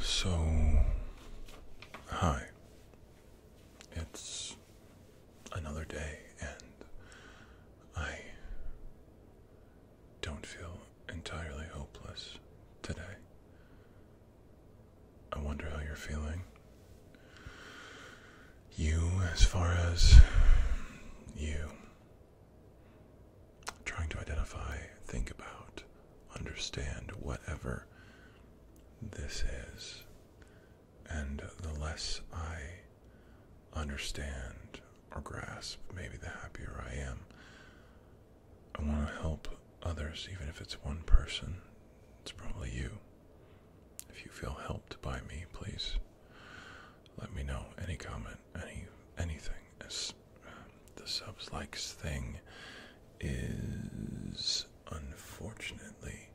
So, hi. It's another day, and I don't feel entirely hopeless today. I wonder how you're feeling. You, as far as you, trying to identify, think about, understand whatever this is. And the less I understand or grasp, maybe the happier I am. I want to help others, even if it's one person. It's probably you. If you feel helped by me, please let me know. Any comment, any anything as um, the subs likes thing is unfortunately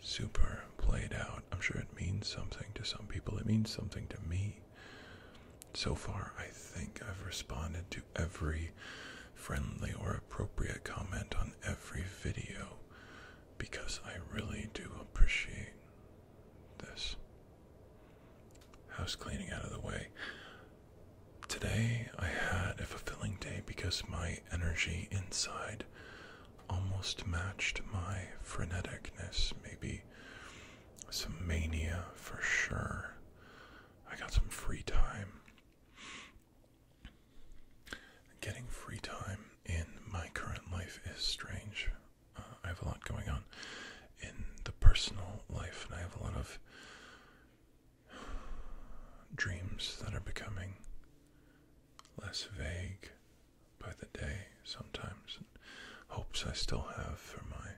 super played out. I'm sure it means something to some people. It means something to me. So far, I think I've responded to every friendly or appropriate comment on every video because I really do appreciate this. House cleaning out of the way. Today I had a fulfilling day because my energy inside almost matched my freneticness, maybe some mania for sure. I got some free time. Getting free time in my current life is strange I have a lot going on in the personal life, and I have a lot of dreams that are becoming less vague by the day sometimes, and hopes I still have for my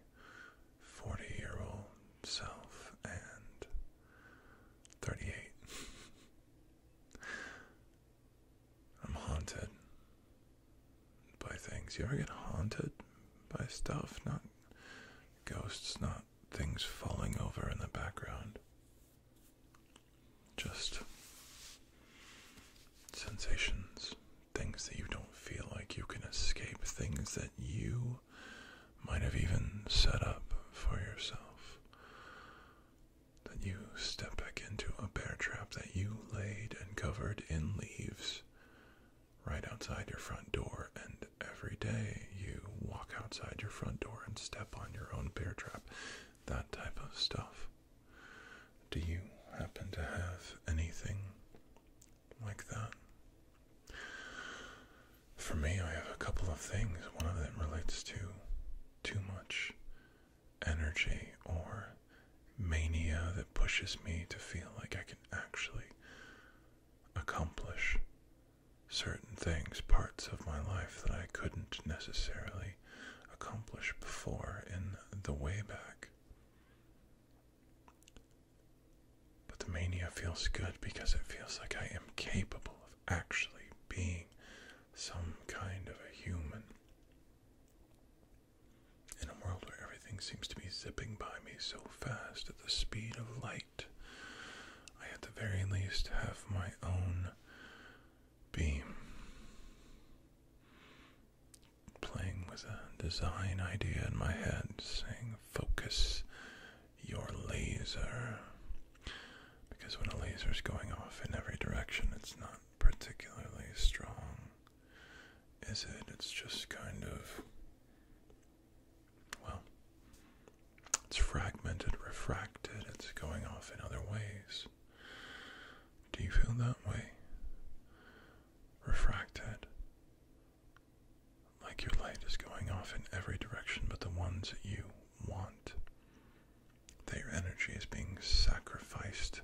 40 year old self and 38. I'm haunted by things. You ever get haunted by stuff? Not ghosts, not things falling over in the background. Just sensations, things that you don't feel like you can escape, things that you might have even set up for yourself. That you step back into a bear trap that you laid and covered in leaves right outside your front door, and every day you walk outside your front door and step on your own bear trap, that type of stuff. Do you happen to have anything like that? For me, I have a couple of things. One of them relates to too much energy or mania that pushes me to feel like I can actually accomplish certain things, parts of my life that I couldn't necessarily accomplish before in the way back. But the mania feels good because it feels like I am capable of actually being some kind of a human. In a world where everything seems to be zipping by me so fast at the speed of light, I at the very least have my own beam. Playing with a design idea in my head, saying, Focus your laser. Because when a laser is going off in every direction, it's not particularly strong is it? It's just kind of, well, it's fragmented, refracted, it's going off in other ways. Do you feel that way? Refracted. Like your light is going off in every direction but the ones that you want. That your energy is being sacrificed,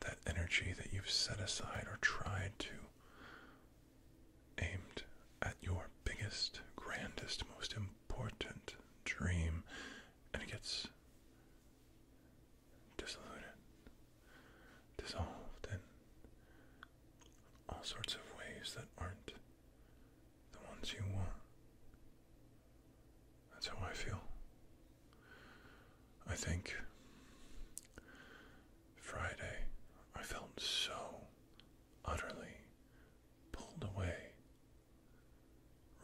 that energy that you've set aside or tried to aimed at your biggest, grandest, most important dream, and it gets dissolved in all sorts of ways that aren't the ones you want. That's how I feel I think Friday, I felt so utterly pulled away.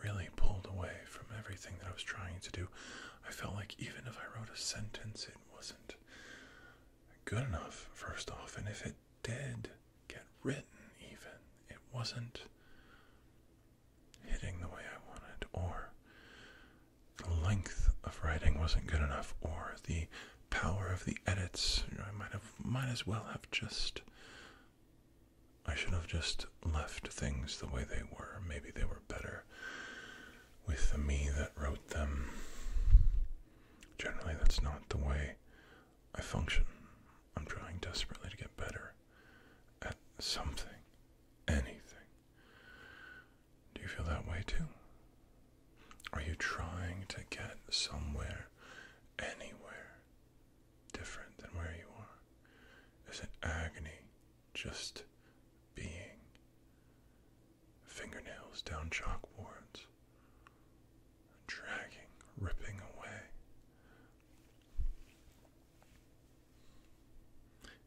Really pulled away from everything that I was trying to do. I felt like even if I wrote a sentence, it wasn't good enough, first off. And if it did get written, even, it wasn't hitting the way I wanted, or the length of writing wasn't good enough, or the power of the edits. I might have, might as well have just. I should have just left things the way they were. Maybe they were better with the me that wrote them. Generally, that's not the way I function. I'm trying desperately to get better at something, anything. Do you feel that way too? Are you trying to get somewhere, anywhere different than where you are? Is it agony just being? Fingernails down chalkboards, dragging, ripping away.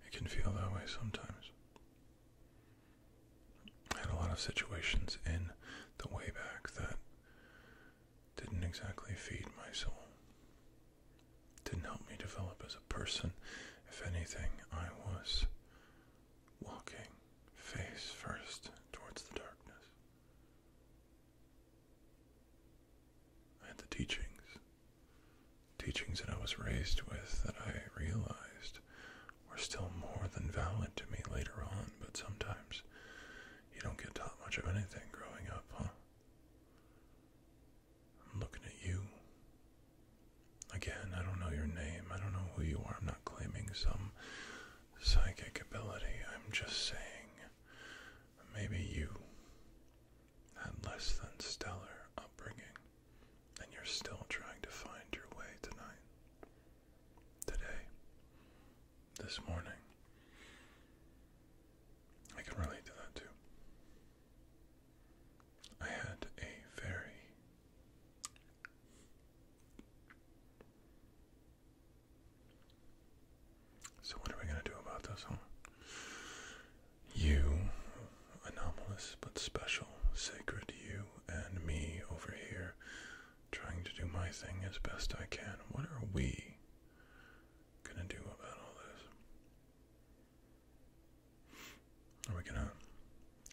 It can feel that way sometimes. I had a lot of situations in the way back that didn't exactly feed my soul. Didn't help me develop as a person. If anything, I was walking face first towards the darkness. I had the teachings teachings that I was raised with that I realized were still more than valid to me later on, but sometimes you don't get taught much of anything growing up, huh? I'm looking at you. Again, I don't know your name. I don't know who you are. I'm not claiming some psychic ability. I'm just saying maybe you had less than stellar upbringing, and you're still trying to find your way tonight, today, this morning. I can relate to that too. I had a very so what are we gonna do about this, huh? you, anomalous but special, sacred you and me over here, trying to do my thing as best I can. What are we gonna do about all this? Are we gonna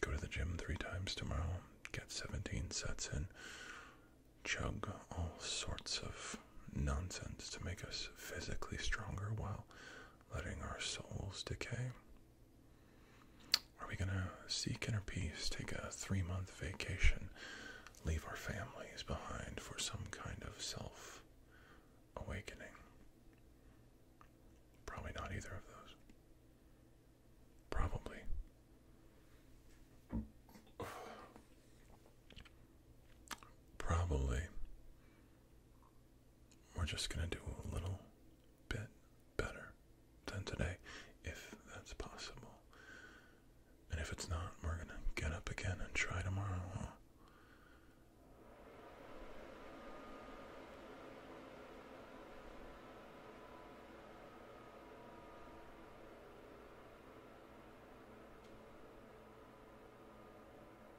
go to the gym three times tomorrow, get 17 sets in, chug all sorts of nonsense to make us physically stronger while letting our souls decay? Are we going to seek inner peace, take a three month vacation, leave our families behind for some kind of self awakening? Probably not either of those. Probably. Probably we're just going to do a little bit better than today, if that's possible. And if it's not, we're going to get up again and try tomorrow.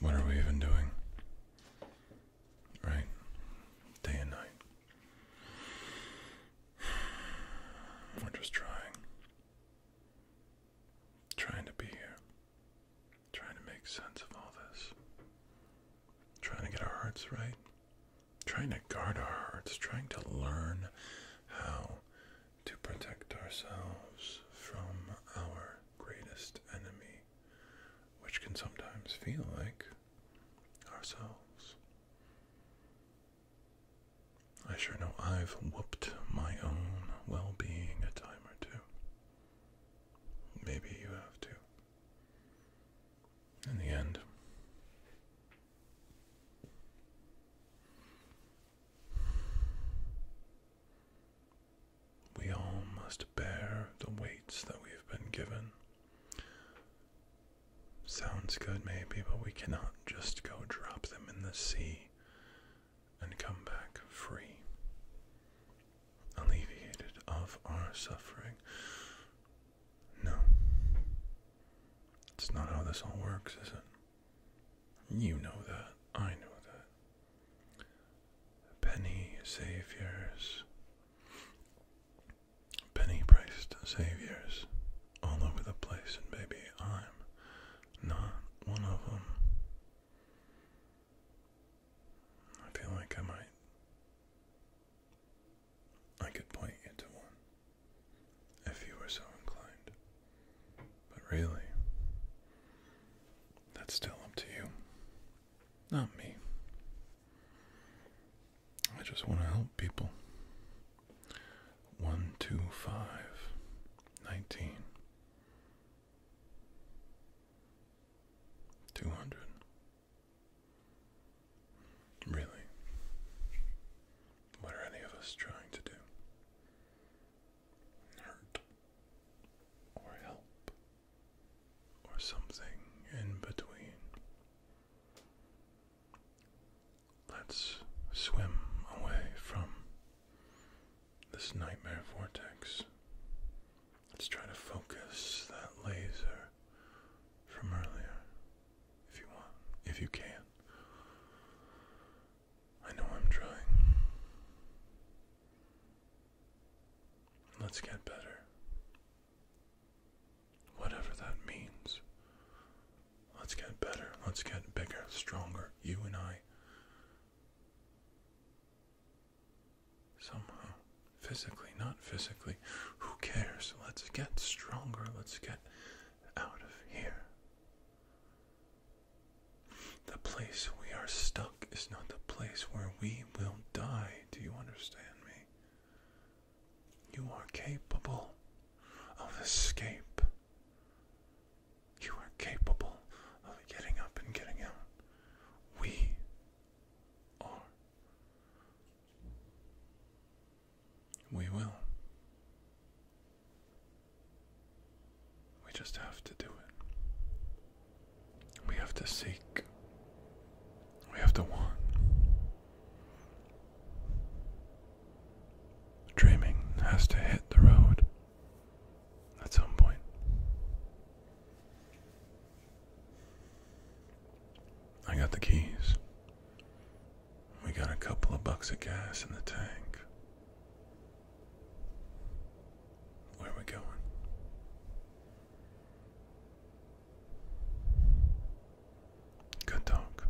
What are we even doing? Right? Day and night. We're just trying. Trying to be here. Trying to make sense of all this. Trying to get our hearts right. Trying to guard our hearts. Trying to learn how to protect ourselves from our greatest enemy, which can sometimes feel like ourselves. I sure know I've whooped my own well being a time or two. Maybe you have to. In the end, we all must bear the weights that we've been given. Sounds good, maybe, but we cannot just go drop them in the sea and come back free, alleviated of our suffering. No. It's not how this all works, is it? You know that. I know that. Penny saviors. Penny priced saviors all over the place, and maybe I'm not one of them. I feel like I might. I could point you to one if you were so inclined. But really, that's still up to you, not me. I just want to help people. 125 19 Two hundred. Really? What are any of us trying to do? Hurt or help or something in between? Let's swim away from this nightmare vortex. Let's try to focus that laser from earlier if you want, if you can. I know I'm trying. Let's get better. Whatever that means. Let's get better. Let's get bigger, stronger, you and I. Somehow. Physically, not physically. Who cares? Let's get stronger. Let's get out of here. The place we are stuck is not the place where we will die. Do you understand me? You are capable of escape. You are capable of getting up and getting out. We are. We will. We just have to do it. We have to seek. We have to want. Dreaming has to hit the road at some point. I got the keys. We got a couple of bucks of gas in the tank. Where are we going? Good talk.